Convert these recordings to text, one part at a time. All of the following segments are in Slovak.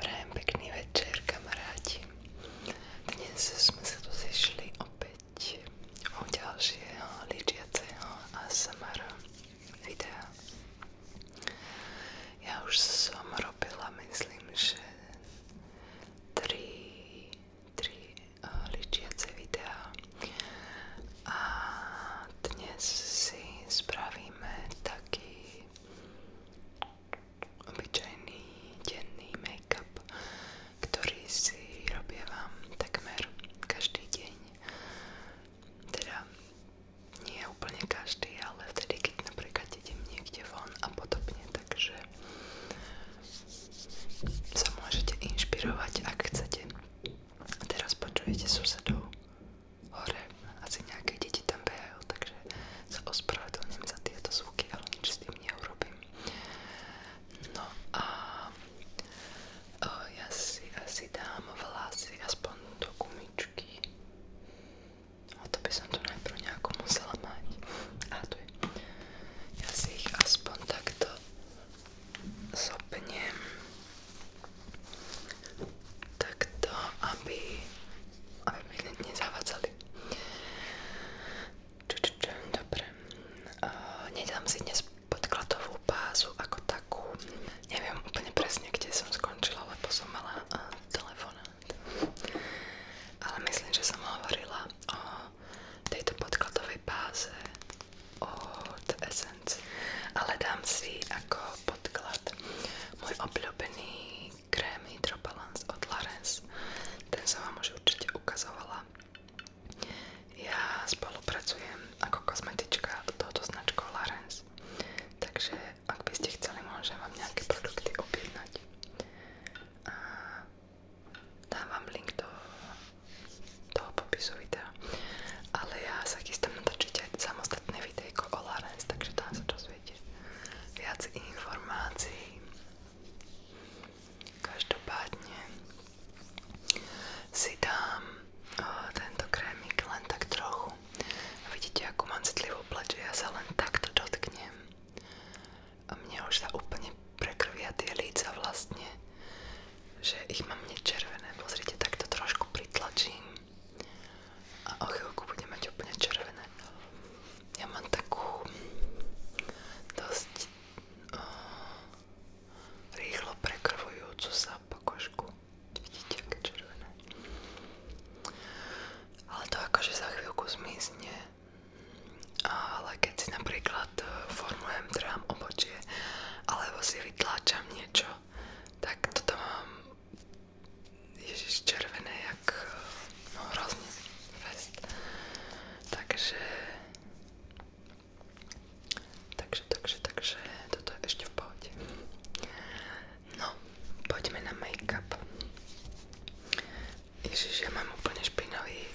Prajem pekný večer kamaráti. Dnes sme sa tu zišli opäť o ďalšieho ličiaceho ASMR videa. Ja už som robila, myslím, že 3, 3 uh, eh, ličiace videá a dnes si spravíme taký obyčajný denný make-up, ktorý si robievam takmer každý deň. Teda nie úplne každý, ale vtedy, keď napríklad idem niekde von a podobne, takže sa môžete inšpirovať, ak chcete. A teraz počujete susedov hore. Asi nejaké deti tam behajú, takže sa ospravedlňujem za tieto zvuky, ale nič s tým neurobím. No a o, ja si asi dám vlasy aspoň do gumičky. O to by som tu najprv nejako musela mať. A tu je. Ja si ich aspoň takto zopnem. Takto, aby aby mi nezavadzali. Č, č, č, dobre. Uh, nedám si dnes podkladovú bázu ako takú. Neviem úplne presne, kde som skončila, lebo som mala uh, telefonát. Ale myslím, že som hovorila o tejto podkladovej báze od Essence. Ale dám si ako podklad môj obľúbený krém Hydro Balance od Larens. Ten som vám už určite ukazovala. Ja spolupracujem ako kozmetička tohoto značkou Larens. Takže ak by ste chceli, môžem vám nejaké produkty objednať. A dám vám link do toho popisu videa. Ale ja sa chystám natočiť aj samostatné videjko o Larens, takže tam sa čas svete informácií. Každopádne si dám tento krémik len tak trochu. Vidíte, ako mám citlivú pleť, že ja len takto dotknem. A mne už sa úplne prekrvia tie líca vlastne, že ich mám nečervené. Pozrite, takto trošku pritlačím a o chvíľku bude mať úplne červené. Ja mám takú dosť o, rýchlo prekrvujúcu sa pokožku. Vidíte, aké červené. Ale to akože za chvíľku zmizne. Ale keď si napríklad e, formujem, trhám obočie alebo si vytláčam niečo, tak toto mám Ježiš, červené jak eh, no hrozný fest. Takže takže, takže, takže toto je ešte v pohode. No, poďme na make-up. Ježiš, ja mám úplne špinavý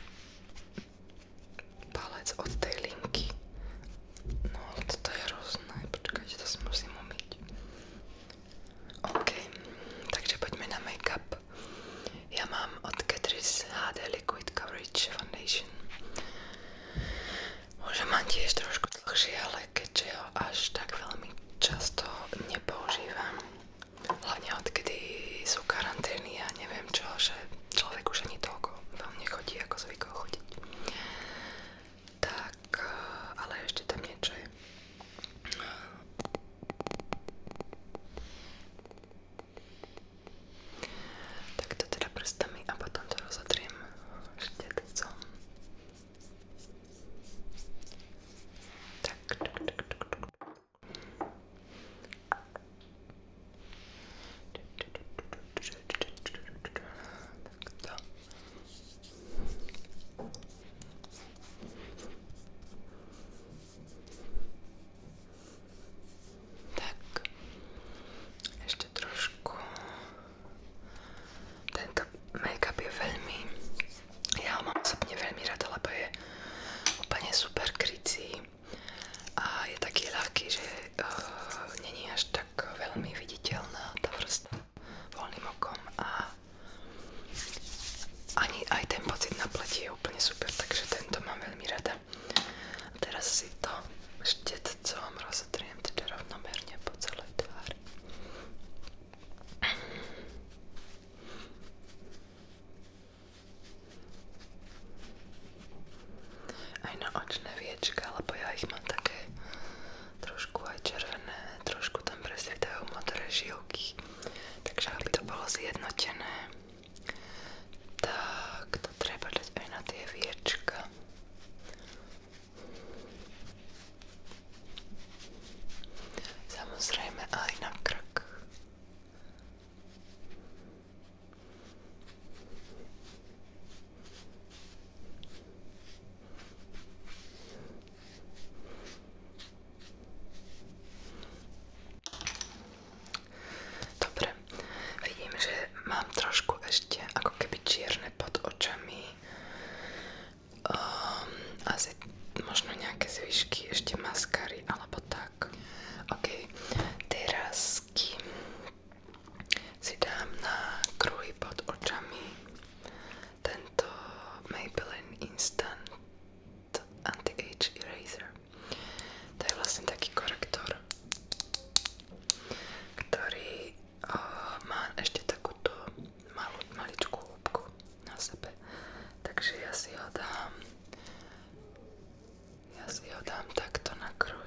palec od tej linky. No, ale toto je hrozné. Počkajte, to si musím umyť. OK, takže poďme na make-up. Ja mám od Catrice HD Liquid Coverage Foundation. Môžem mám tiež trošku dlhšie, ale keďže ho až tak veľmi často nepoužívam. Hlavne odkedy sú karantény a ja neviem čo, že človek už ani toľko vám nechodí, ako zvykol chodiť. Tak, e, ale ještě temnější. Tak to teda prstami a potom to rozotřím štětcom. Tak, tak, tak, tak, tak. Tak to. Tak, ešte trošku. Tento make-up je veľmi, ja ho mám osobne veľmi rada, lebo je úplne super krycí a je taký ľahký, že uh, není až tak veľmi viditeľná tá vrstva voľným okom a ani aj ten pocit na pleti je úplne super, takže tento mám veľmi rada. A teraz si to štetcom rozotriem teda rovnomerne po celej tvári. Aj na očné viečka, lebo ja ich mám také trošku trošku aj červené, trošku tam presvietajú modré žilky. Takže aby to bolo zjednotené, tak to treba dať na tie viečka. Samozrejme Dobre, vidím, že mám trošku ešte ako keby čierne pod očami. Um, asi možno nejaké zvyšky, ešte maskary alebo tak. Ok, teraz kým si dám na kruhy pod očami tento Maybelline Instant Anti-Age Eraser. To je vlastne taký korektor, ktorý o, má ešte takúto malú, maličkú hĺbku na sebe. Takže ja si ho dám ja si ho dám takto na kruhy.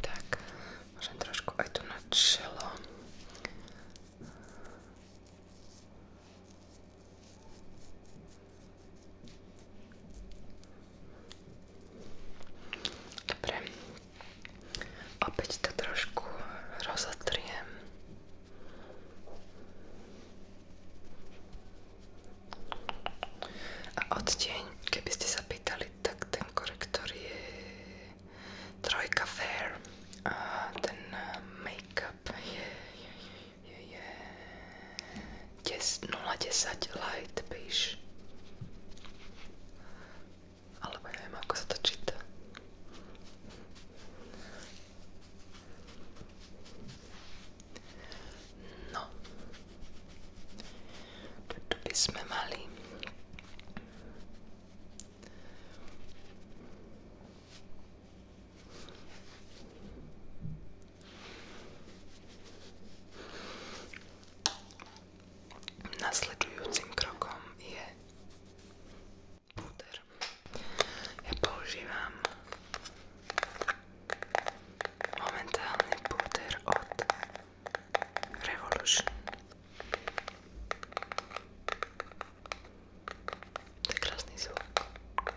Tak, môžem trošku aj tu na čelo. Dobre, opäť to trošku rozotriem. A odtieň, keby ste sa pýtali, tak ten korektor je trojka fair a ten eh, make-up je, je, je, je, je 010 light beige. Alebo neviem, ako sa to číta. No. Tu by sme mali. Nasledujúcim krokom je púder. Ja používam momentálny púder od Revolution. To je krásny zvuk. Ďakujem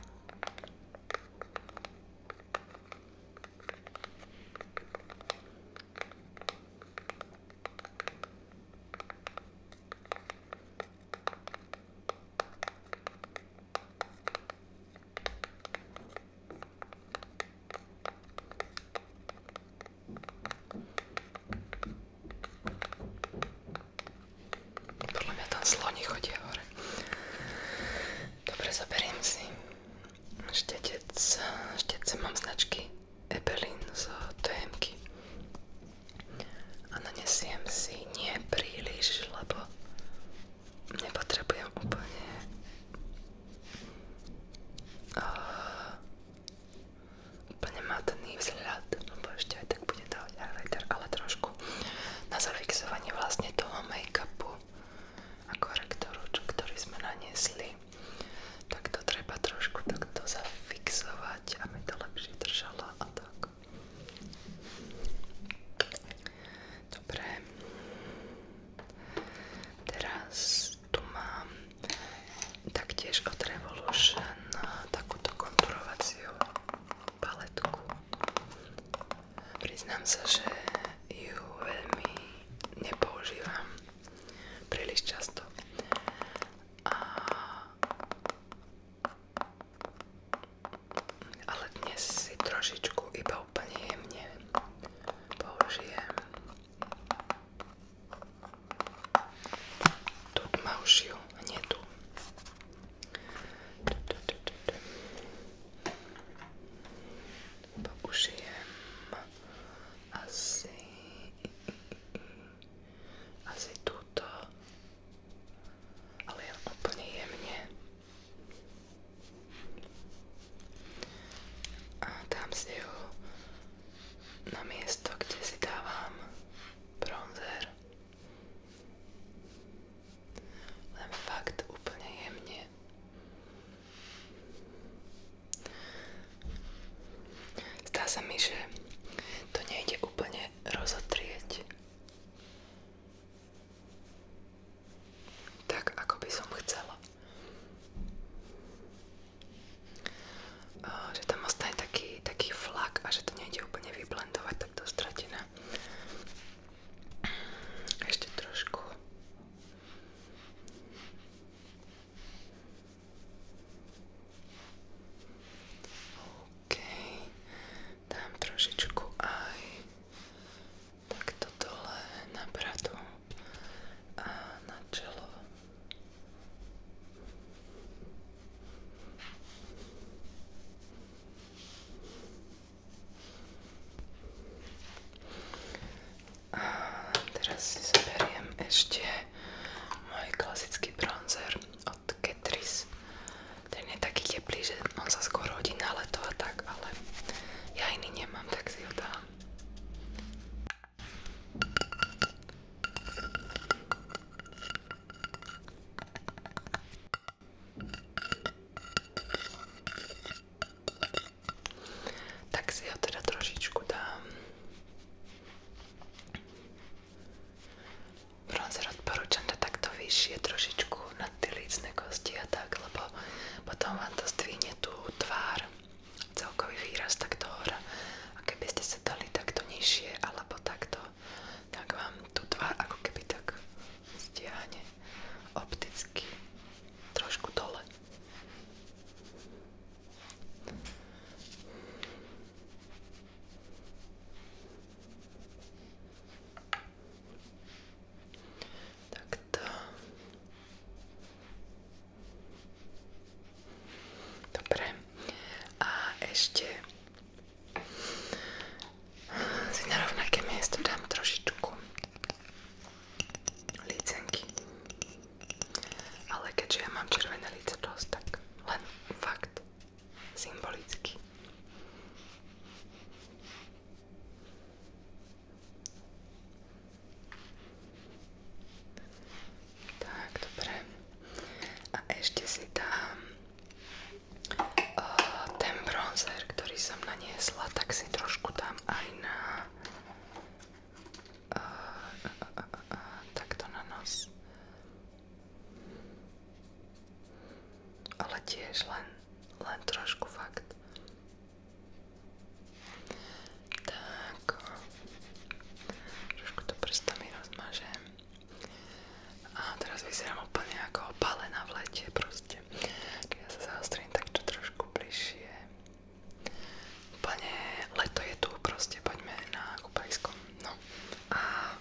podľa mňa tam sloni chodia hore. Dobre, zaberiem si štetec. Štetce mám značky Ebelin z tm a nanesiem si nie príliš, lebo nepotrebujem úplne uh, úplne matný vzhľad, lebo ešte aj tak bude to highlighter, ale trošku na zafixovanie vlastne toho make-upu a korektoru, čo, ktorý sme naniesli tak to treba trošku takto zafixovať, aby to lepšie držalo a tak Dobre. Teraz tu mám taktiež od Revolution takúto konturovaciu paletku. Priznám sa, že ju veľmi nepoužívam príliš často. A ale dnes si trošičku iba úplne jemne použijem tutmaušiu hnedu. Použijem asi asi túto ale len úplne jemne. A dám si ju na miesto, kde si dávam bronzer. Len fakt úplne jemne. Zdá sa mi, že to nejde úplne rozotrieť tak ako by som chcela. Uh, že tam ostane taký, taký flak a že to nejde úplne vyblendovať, tak to stratené. Ešte trošku. OK. OK. Dám trošičku aj takto dole na bradu a na čelo. A teraz si zoberiem ešte môj klasický bronzer od Ketris. Ten je taký teplý, že on sa skoro hodí na leto a tak, ale ja iný nemám, tak si ho dám. Tak si ho teda trošičku dám bronzer odporúčam na takto vyššie trošičku na tie lícne kosti a tak, lebo potom vám to zdvihne tú tvár, celkový výraz takto hora. A keby ste sa dali takto nižšie alebo takto, tak vám tú tvár ako keby tak stiahne opticky trošku dole. Takto. Dobre. A ešte si na rovnaké miesto dám trošičku lícenky. Ale keďže ja mám červené líce dosť, tak len fakt symbolicky. Tak, dobre. A ešte si dám uh, ten bronzer, ktorý som naniesla, tak si trošku dám aj na uh, uh, uh, uh, takto na nos ale tiež len, len trošku fakt. Tak, trošku to prstami rozmažem. A teraz vyzerám úplne ako opálená v lete proste. Ja sa zaostrím takto trošku bližšie. Úplne leto je tu proste, poďme na kúpajskom. No a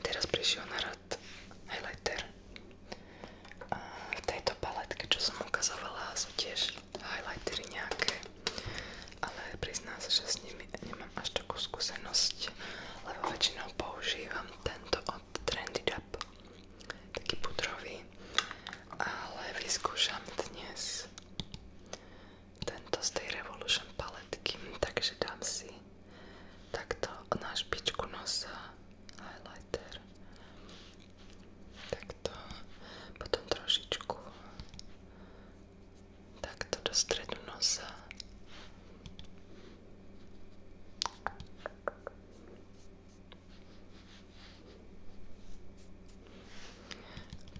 teraz prišiel naraz matte highlighter. A v ukazovala, sú highlightery nejaké, ale priznám sa, že s nimi nemám až takú skúsenosť, lebo väčšinou používam tento od Trendy Dab, taký pudrový, ale vyskúšam dnes z Revolution paletky, takže dám si takto na špičku nosa highlighter takto potom trošičku takto do stredu nosa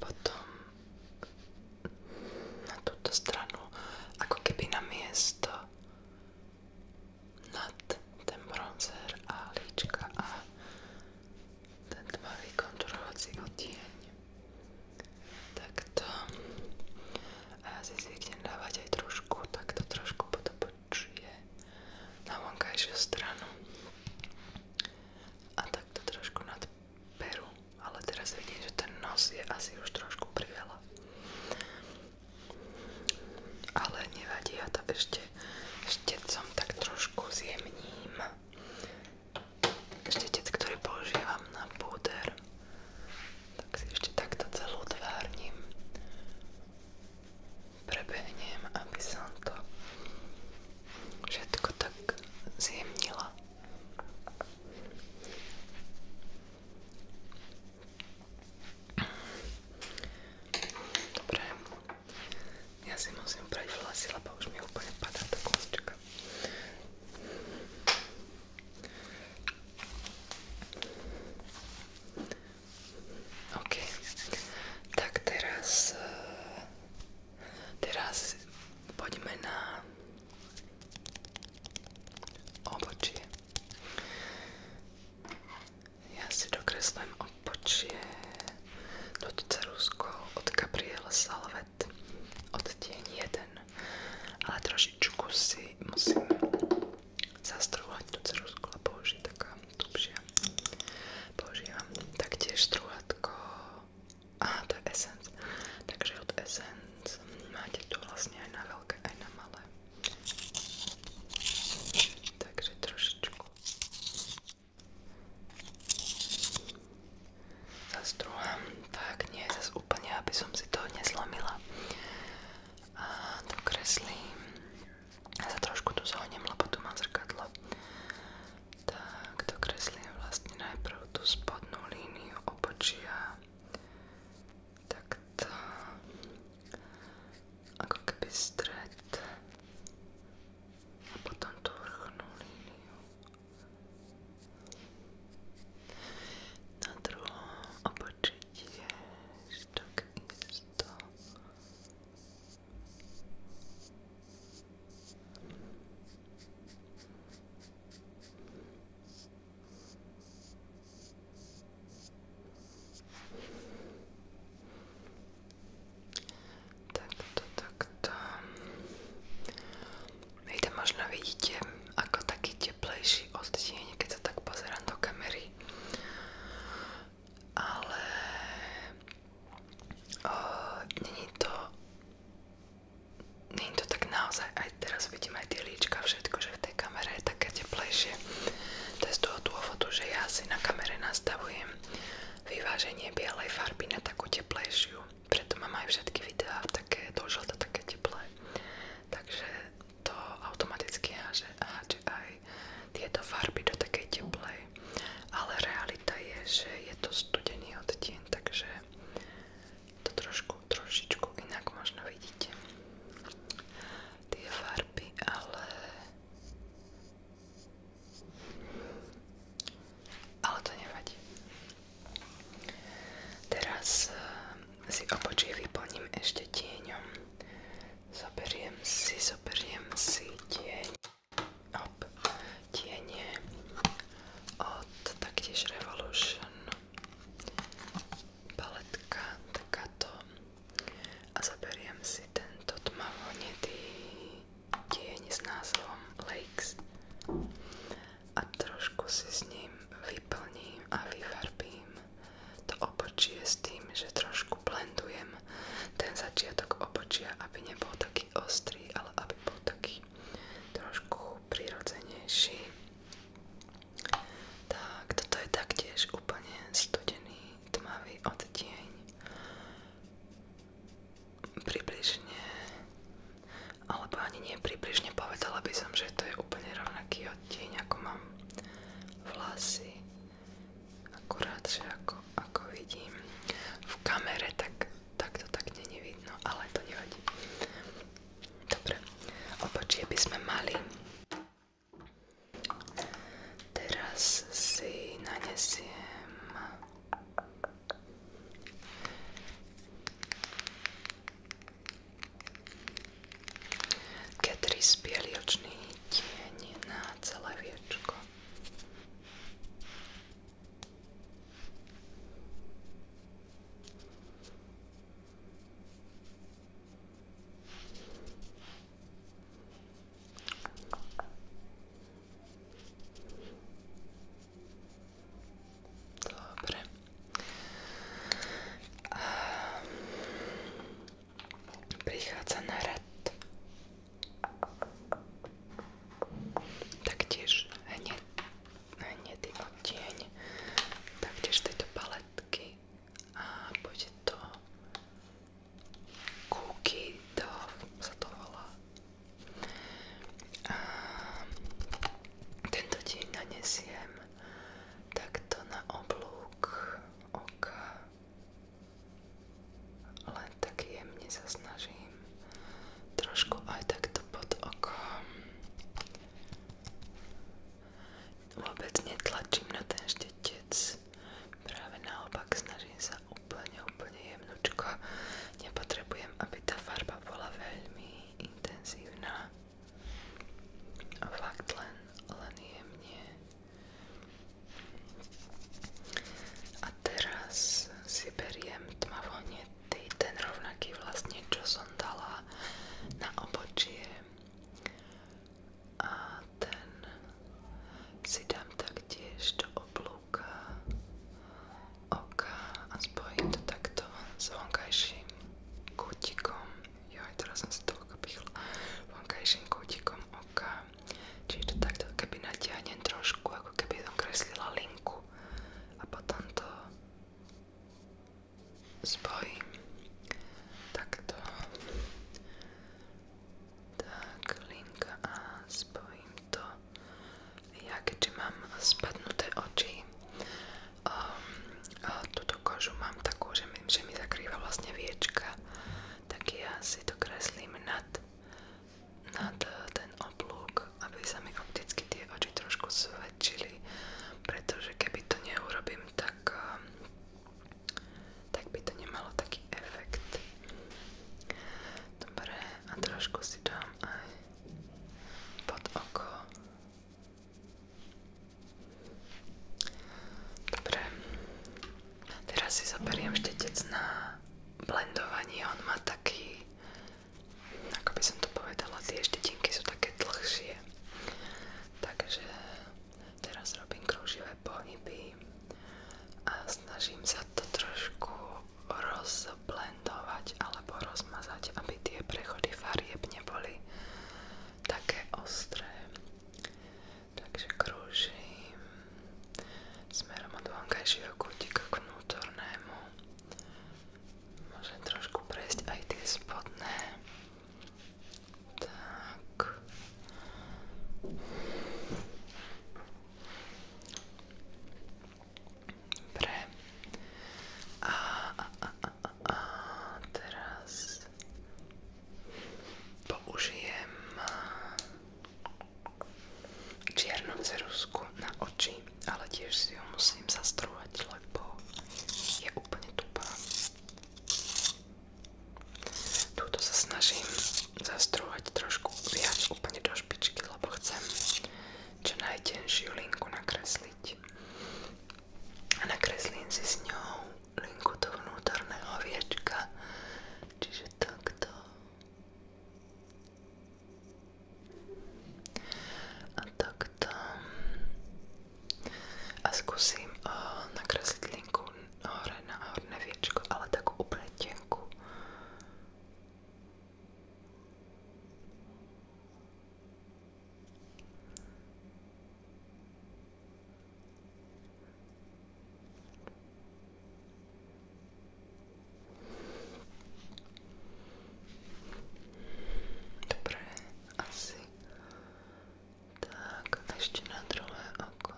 potom na túto stranu ako keby na miesto nad ten bronzer a líčka a ten tmavý konturovací odtieň. Takto. A ja si zvyknem dávať aj trošku, takto trošku podobčuje na vonkajšiu stranu. A takto trošku nad peru. Ale teraz vidím, že ten nos je asi už trošku priveľa veľa. Ale nevadí, ja to ešte štetcom tak trošku zjemním. Štetec, ktorý používam na púder. Tak si ešte takto celú tvárnim. Prebehnem, aby som to všetko tak zjemnila. Dobre. Ja si musím prejsť vlasy, lebo už mi úplne padá tá kosťka. OK. Tak teraz... Eh, teraz poďme na obočie. Ja si dokreslím odpočie do no Rusko od Gabriel Salvet od deň 1 ale trošičku si musím zastruhať tú ceruzku, lebo už je taká tupšia používam taktiež struhatko aha to je Essence takže od Essence máte tu vlastne aj na veľké aj na malé Takže trošičku zastruhám tak nie zas úplne, aby som si to nezlomila a dokreslím ja sa trošku tu zohnem, lebo tu mám zrkadlo tak dokreslím vlastne najprv tú spodnú líniu obočia takto ako keby stred a potom tú vrchnú líniu na druhom obočí tiež tak isto a Takto, takto. Víte, možno teplejší odtieň, keď sa tak pozerám do kamery. Ale není to, není to tak naozaj, aj teraz vidím aj tie líčka, všetko, že v tej kamere je také teplejšie. To je z toho dôvodu, že ja si na kamere nastavujem vyváženie bielej farby na takú teplejšiu. Preto mám aj všetky videá v také dožlté, také teplé. Takže to automaticky háže, háže aj tieto farby do takej teplej. Ale realita je, že je to studený odtieň, takže to trošku, trošičku inak možno vidíte tie farby, ale ale to nevadí. Teraz eh, si obočie vyplním ešte tieňom. Zoberiem si, zoberiem si tieň. Op, tieň od taktiež Revolution paletka takáto a zaberiem si tento tmavonedý tieň s názvom Lakes a trošku si s ním vyplním a vyfarbím to obočie s tým, že trošku blendujem ten začiatok obočia, aby nebol taký ostrý, ale aby bol taký trošku prirodzenejší tak, toto je taktiež úplne studený, tmavý odtieň. Približne, alebo ani nie približne, povedala by som, že to je úplne rovnaký odtieň, ako mám vlasy. Akurát, že ako, ako vidím v kamere, tak, tak to tak není vidno, ale to nevadí. Dobre, obočie by sme mali Teraz si nanesiem Ketris bieliočný tieň na celé viečko. Dobre. A ehm, prichádza na rad taktiež hneď, hnedý odtieň taktiež tejto paletky a bude to Cookie Dove sa to volá. A tento deň nanesiem takto na oblúk oka. Len tak jemne sa snažím. Trošku aj takto pod okom vôbec netlačím na ten štetec. Práve naopak snažím sa úplne, úplne jemnočko. Nepotrebujem, aby tá farba bola veľmi intenzívna. A fakt len, len jemne. A teraz si beriem tmavo hnedý, ten rovnaký vlastne, čo som dala na obočie a ten si dám taktiež do oblúka oka a spojím to takto s vonkajším kútikom. Joj, teraz som si to okopichla. Vonkajším kútikom oka. Čiže to takto keby natiahnem trošku, ako keby som kreslila linku a potom to spojím takto. Tak, linka a spojím to. Ja keďže mám spadnuté oči, um, túto kožu mám takú, že mi, že mi zakrýva vlastne viečka, tak ja si to kreslím nad, nad e, ten oblúk, aby sa mi opticky tie oči trošku svedčili, pretože keby to neurobím, tak um, tak by to nemalo taký efekt. Dobre, a trošku si dám aj pod oko. Dobre, teraz si zoberiem štetec na blendovanie, on má taký, ako by som to povedala, tie štetinky sú také dlhšie, takže Teraz robím kruživé pohyby a snažím sa to trošku rozblendovať alebo rozmazať, aby tie prechody farieb neboli také ostré. Takže krúžim smerom od vonkajšieho kútika k vnútornému. Môžem trošku prejsť aj tie spodné tak. Dobre. A, a, a, a, a teraz použijem čiernu cerusku na oči, ale tiež si ju musím zastruhať, lebo je úplne tupá. Túto sa snažím zastruhovať trošku viac úplne do špičky, lebo chcem čo najtenšiu linku nakresliť. A nakreslím si s ňou linku do vnútorného viečka, čiže takto. A takto a skúsim uh, eh, nakresliť linku hore na horné viečko, ale takú úplne tenkú. Dobre, asi tak, ešte na druhé oko.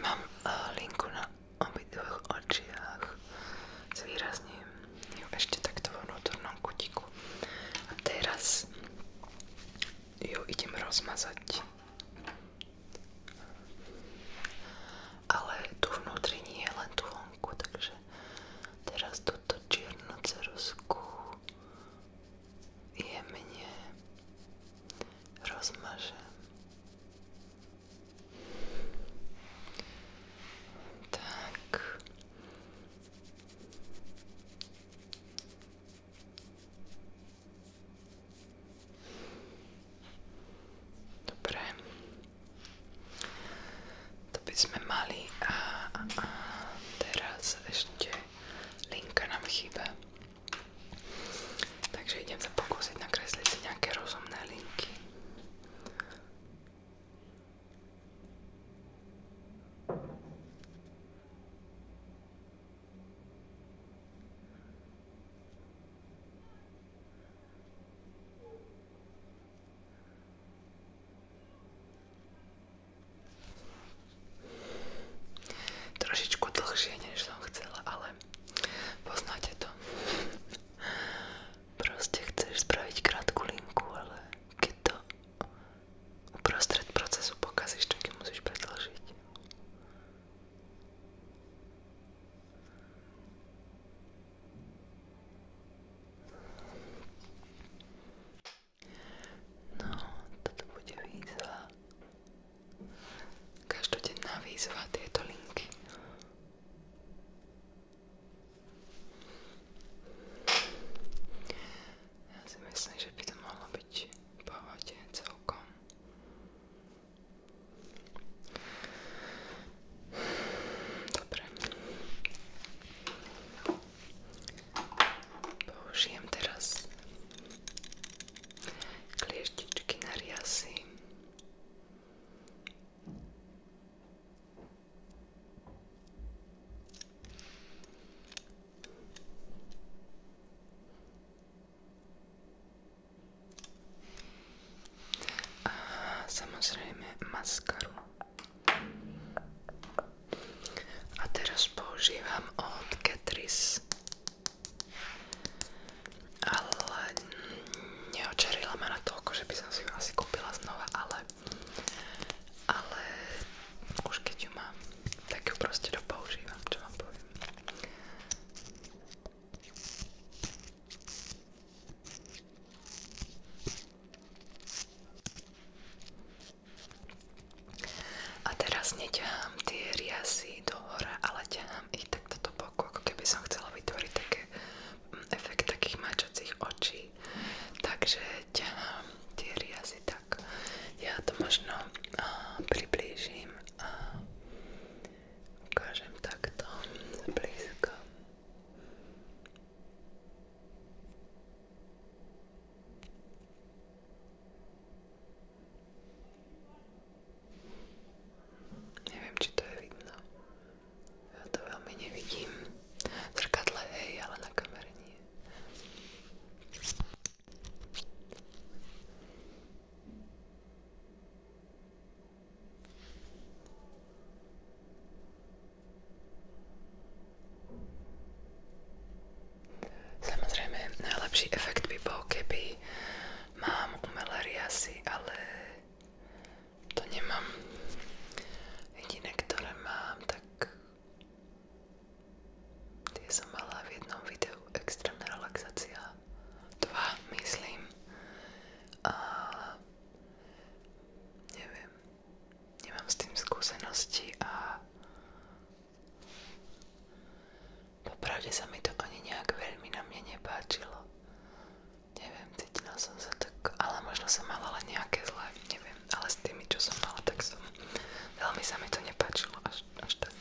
mám eh, linku na obidvoch očiach. Zvýrazním ju ešte takto vo vnútornom kutiku. A teraz ju idem rozmazať. Ale tu vnútri nie je len tu vonku, takže teraz túto čiernu ceruzku jemne rozmažem. Tak, Dobre. To by sme mali a, a, a teraz ešte linka nám chýba. Takže idem sa pokúsiť nakresliť si nejaké rozumné linky. Trošičku dlhšie, než som chcela, ale poznáte to. Proste chceš spraviť krátku linku, ale keď to uprostred procesu pokazíš, čo keď musíš predlžiť. No, toto bude výzva. Každodenná výzva tieto linky. Ja si myslím, že by to mohlo byť v pohode celkom. Dobre. Použijem teraz klieštičky na riasy. A samozrejme maskaru. A teraz používam od Catrice. Ale neočarila ma na toľko, že by som si ju asi kúpila znova, ale ale už keď mám, tak ju proste dopoužívam, čo vám poviem. A teraz tie riasy do hora, ale ťahám ich takto do boku, ako keby som chcela vytvoriť mm, efekt takých mačacích očí. Takže ťahám tie tak ja to možno uh, priblížim a ukážem takto blízko. Neviem, či to je vidno. Ja to veľmi nevidím. V zrkadle hej, ale na kamere nie. Samozrejme, najlepší efekt by bol, keby mám umelé riasy, ale to nemám. Jediné, ktoré mám, tak Tie som mala v jednom videu extrémna relaxácia. Dva, myslím. A neviem. Nemám s tým skúsenosti a popravde sa mi to ani nejak veľmi na mne nepáčilo. Neviem, cítila som sa ale možno som mala len nejaké zlé, neviem, ale s tými, čo som mala, tak som Veľmi sa mi to nepáčilo až, až tak.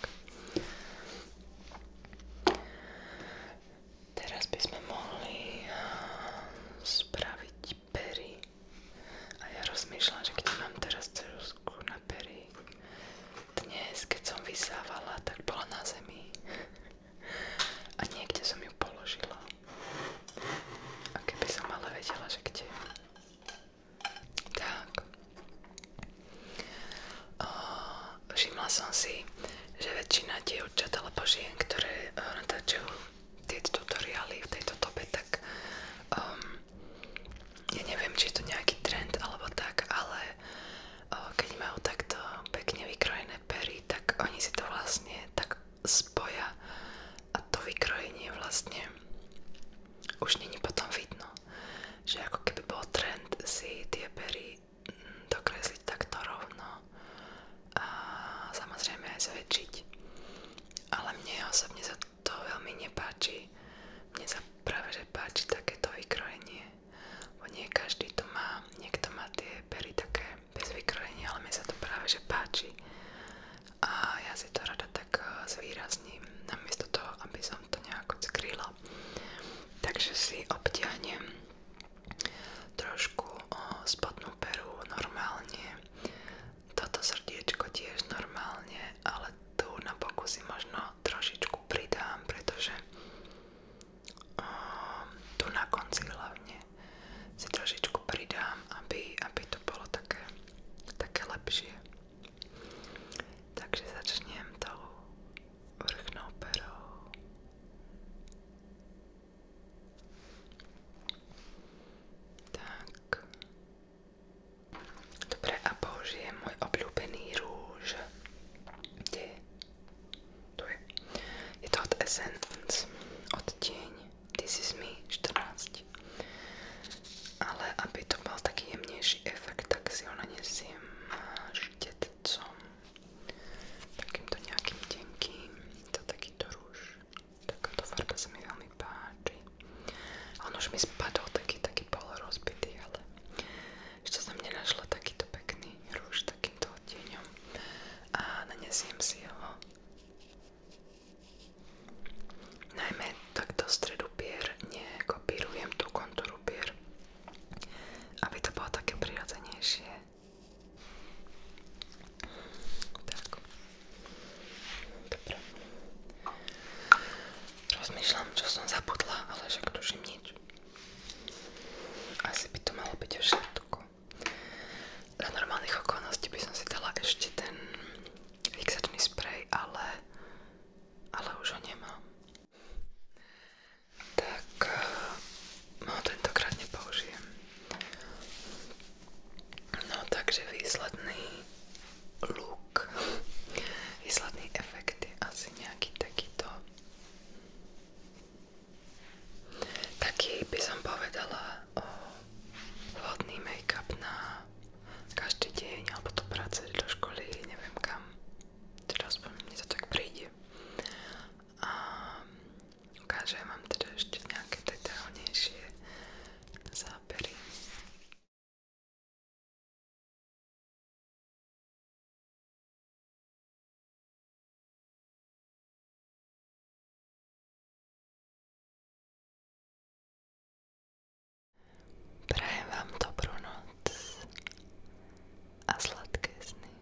Teraz by sme mohli ehm, spraviť pery. A ja rozmýšľam, že kde mám teraz ceruzku na pery. Dnes, keď som vysávala, tak bola na zemi. A niekde som ju položila. A keby som ale vedela, že kde. Tak. O, všimla som si, že väčšina dievčat alebo žien, ktoré o, e, natáčajú tieto tutoriály v tejto dobe, tak um, ja neviem, či je to nejaký trend alebo tak, ale o, e, keď majú takto pekne vykrojené pery, tak oni si to vlastne tak spoja a to vykrojenie vlastne už není potom vidno, že ako keby bol trend si tie pery mm, dokresliť takto rovno a samozrejme aj zväčšiť. Ale mne osobne sa to veľmi nepáči. Mne sa práve že páči takéto vykrojenie. Bo nie každý to má. Niekto má tie pery také bez vykrojenia, ale mne sa to práve že páči. A ja si to rada tak eh, zvýrazním namiesto toho, aby som to nejako skrýla. Takže si obtiahnem trošku eh, spodnú peru normálne, toto srdiečko tiež normálne, ale tu na boku si možno trošičku pridám, pretože eh, tu na konci hlavne si trošičku pridám aby, aby to bolo také, také lepšie. Takže začnem tou vrchnou perou. Tak. Dobre, a použijem môj obľúbený rúž. Kde je? Tu je. Je to od Essence, od Tieň. Ty si mi 14. Ale aby to mal taký jemnejší efekt, tak si ho nanesiem štetcom. Takýmto nejakým tenkým. To takýto rúž. Takáto farba sa mi veľmi páči. On už mi spadol taký, taký polorozbitý, ale ešte som nenašla takýto pekný rúž takýmto odtieňom. A nanesiem si ho Najmä takto stredu pier nekopírujem tú kontúru pier, aby to bolo také prirodzenejšie. Tak. Dobre. Rozmýšľam, čo som zapudla, ale však tuším nič. Asi by to malo byť všetko. Za normálnych okolností by som si dala ešte ten fixačný sprej, ale, ale už ho nemám. Tak ho eh, no, tentokrát nepoužijem. No takže výsledný look, výsledný efekt je asi nejaký takýto. Taký by som povedala o vhodný make-up na každý deň alebo do práce, do školy, neviem kam. Teda aspoň mne to tak príde. A ukážem vám teda ešte nejaké detailnejšie zábery. Prajem vám dobrú noc a sladké sny.